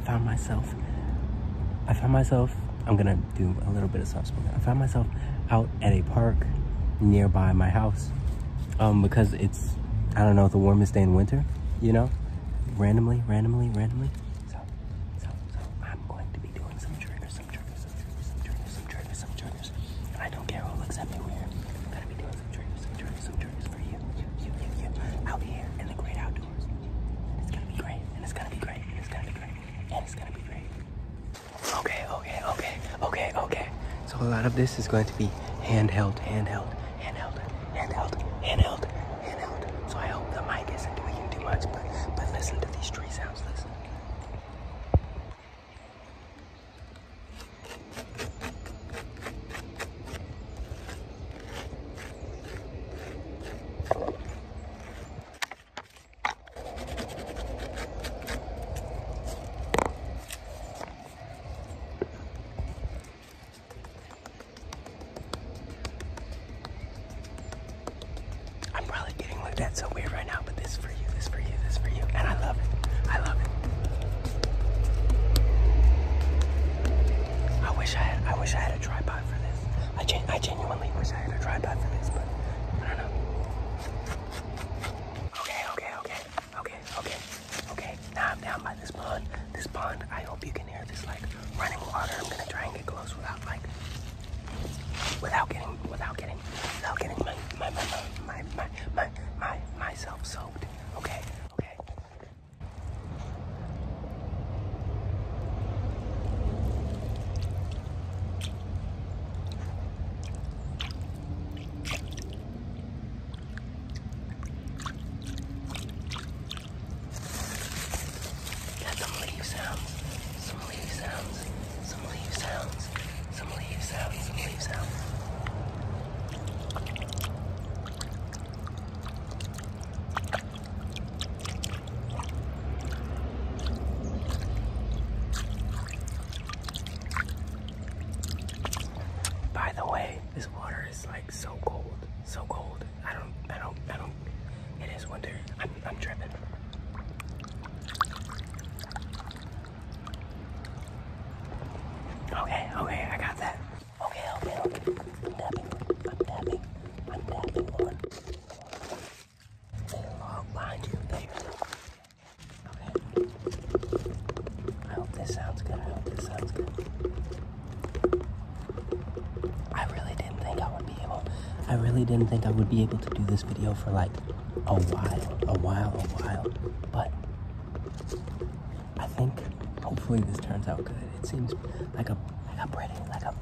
I found myself, I found myself, I'm gonna do a little bit of soft spoken. I found myself out at a park nearby my house um, because it's, I don't know, the warmest day in winter, you know? Randomly, randomly, randomly. So, so, so I'm going to be doing some triggers, some triggers, some triggers, some triggers, some triggers, some triggers. And I don't care who looks at me weird. I'm gonna be doing some triggers, some triggers, some triggers for you, you, you, you, you. Out here in the great outdoors outdoors. It's gonna be great, and it's gonna be great, and it's gonna be great, and it's gonna be great. Okay, okay, okay, okay, okay. So a lot of this is going to be handheld, handheld, handheld, handheld, handheld, handheld. So I hope the mic isn't doing too much, but, but listen to these tree sounds, listen. I'm probably getting looked at so weird right now, but this for you, this for you, this for you, and I love it. I love it. I wish I had I wish I had a tripod for this. I, gen I genuinely wish I had a tripod for this, but I don't know. Okay, okay, okay, okay, okay, okay. Now I'm down by this pond. This pond, I hope you can hear this like running water. I'm gonna try and get close without like without getting without getting without getting my my my my my, my myself soaked. Okay, okay. Got some leaf sounds, some leaf sounds, some leaf sounds, some leaf sounds, some leaf sounds. Some leaf sounds. By the way, this water is like so cold, so cold. I don't, I don't, I don't. It is winter. I'm, dripping. Okay, okay, I got that. Okay, okay, okay. Oh, I really didn't think I would be able. I really didn't think I would be able to do this video for like a while, a while, a while. But I think hopefully this turns out good. It seems like a like I'm like i like I'm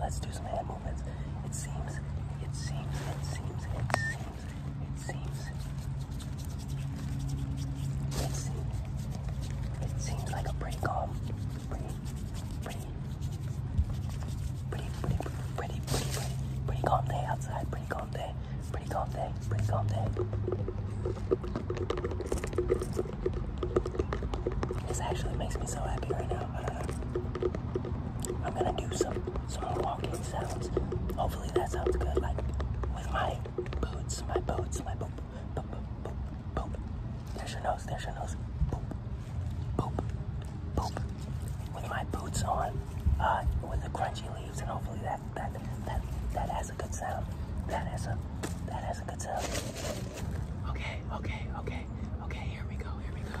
Let's do some hand movements. It seems, it seems, it seems, it seems, it seems, it seems, it seems like a pretty calm, pretty, pretty, pretty, pretty, pretty, pretty calm day outside. Pretty calm day. Pretty calm day. Pretty calm day. This actually makes me so happy right now. Uh, I am gonna do some some walking sounds. Hopefully that sounds good. Like with my boots, my boots, my boop, There's your nose. There's your nose. Boop, boop, boop. With my boots on, uh, with the crunchy leaves, and hopefully that that that that has a good sound. That has a that has a good sound. Okay, okay, okay, okay, here we go, here we go.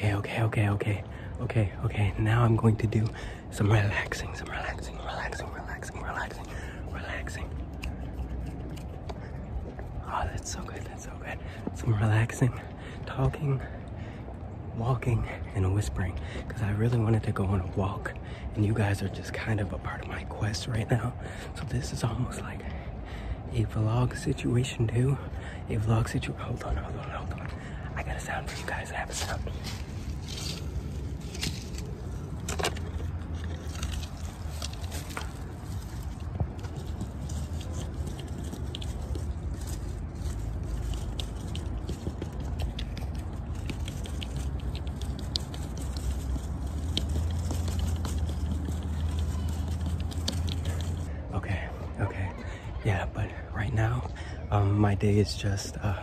Okay, okay, okay. Okay, okay, okay, okay. Okay, okay, now I'm going to do some relaxing, some relaxing, relaxing, relaxing, relaxing, relaxing. Oh, that's so good, that's so good. Some relaxing, talking, walking, and whispering. Because I really wanted to go on a walk, and you guys are just kind of a part of my quest right now. So this is almost like a vlog situation too. A vlog situation. Hold on, hold on, hold on. I got a sound for you guys. I have a sound. Okay, okay. Yeah, but right now, um, my day is just, uh,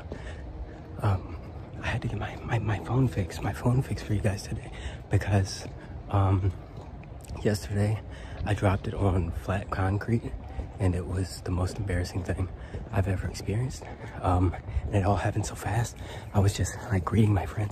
um, I had to get my, my, phone fixed, my phone fixed for you guys today because, um, yesterday I dropped it on flat concrete and it was the most embarrassing thing I've ever experienced. it all happened so fast. I was just like greeting my friends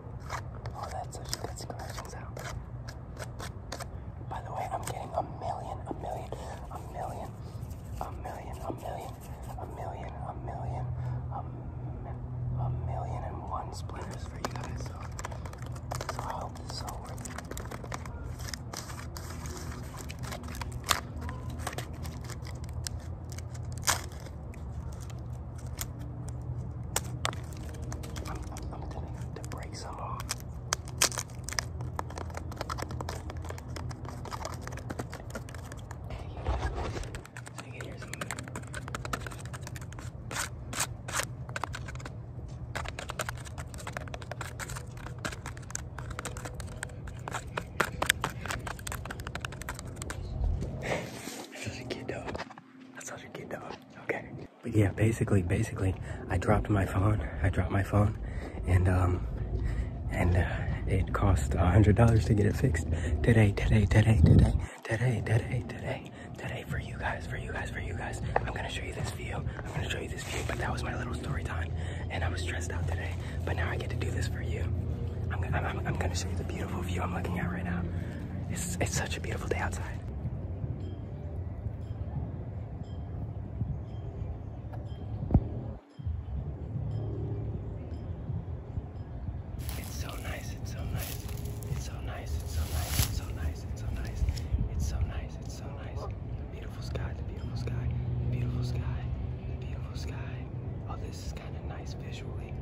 Oh, that's such a good scratching sound. By the way, I'm getting a million, a million, a million, a million, a million, a million, a million, a, a million and one splinters for you guys. So, so I hope this is all worth it. I'm, I'm, I'm telling you, the brakes are off. Hey, I can hear something. I feel like a kid, though. That's such a good dog. Okay. But yeah, basically, basically, I dropped my phone. I dropped my phone, and um, and uh, it cost a hundred dollars to get it fixed today, today, today, today, today, today, today, today for you guys, for you guys, for you guys. I'm gonna show you this view. I'm gonna show you this view. But that was my little story time, and I was stressed out today. But now I get to do this for you. I'm, I'm, I'm gonna show you the beautiful view I'm looking at right now. It's, such a beautiful day outside. It's so nice, it's so nice. It's so nice, it's so nice, it's so nice, it's so nice. It's so nice, it's so nice. beautiful sky, the beautiful sky, beautiful sky, the beautiful sky. Oh, this is kind of nice visually.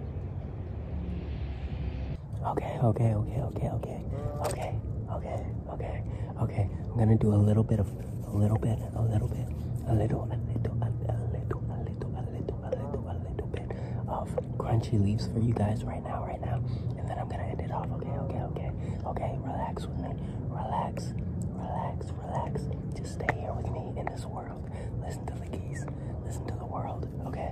Okay, okay, okay, okay, okay, okay, okay, okay, okay. I'm gonna do a little bit of, a little bit, a little bit, a little, a little, a little, a little, a little, a little, a little bit of crunchy leaves for you guys right now, right now. And then I'm gonna end it off. Okay, okay, okay, okay. Relax with me. Relax, relax, relax. Just stay here with me in this world. Listen to the keys. Listen to the world. Okay.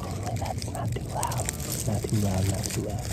Oh, that's not too loud. Not too loud, not too loud.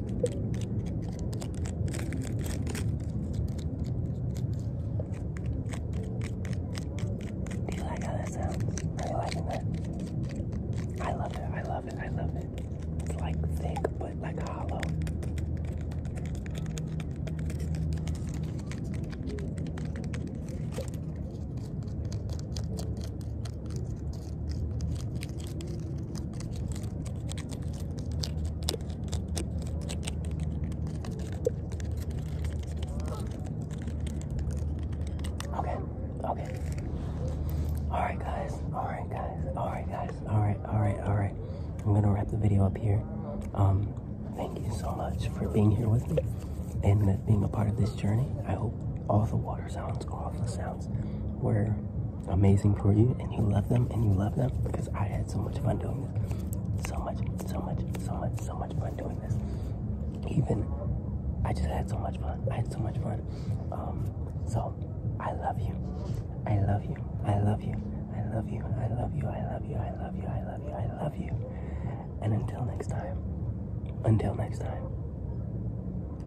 Do you like how that sounds? Are you liking that? I love it. I love it. I love it. It's like thick, but like hollow. Okay, okay. Alright, guys, alright, guys, alright, guys, alright, alright, alright. I'm gonna wrap the video up here. Um, thank you so much for being here with me and being a part of this journey. I hope all the water sounds, all the sounds were amazing for you and you love them and you love them because I had so much fun doing this. So much, so much, so much, so much fun doing this. Even, I just had so much fun. I had so much fun. Um, so, I love you. I love you. I love you. I love you. I love you. I love you. I love you. I love you. I love you. And until next time, until next time.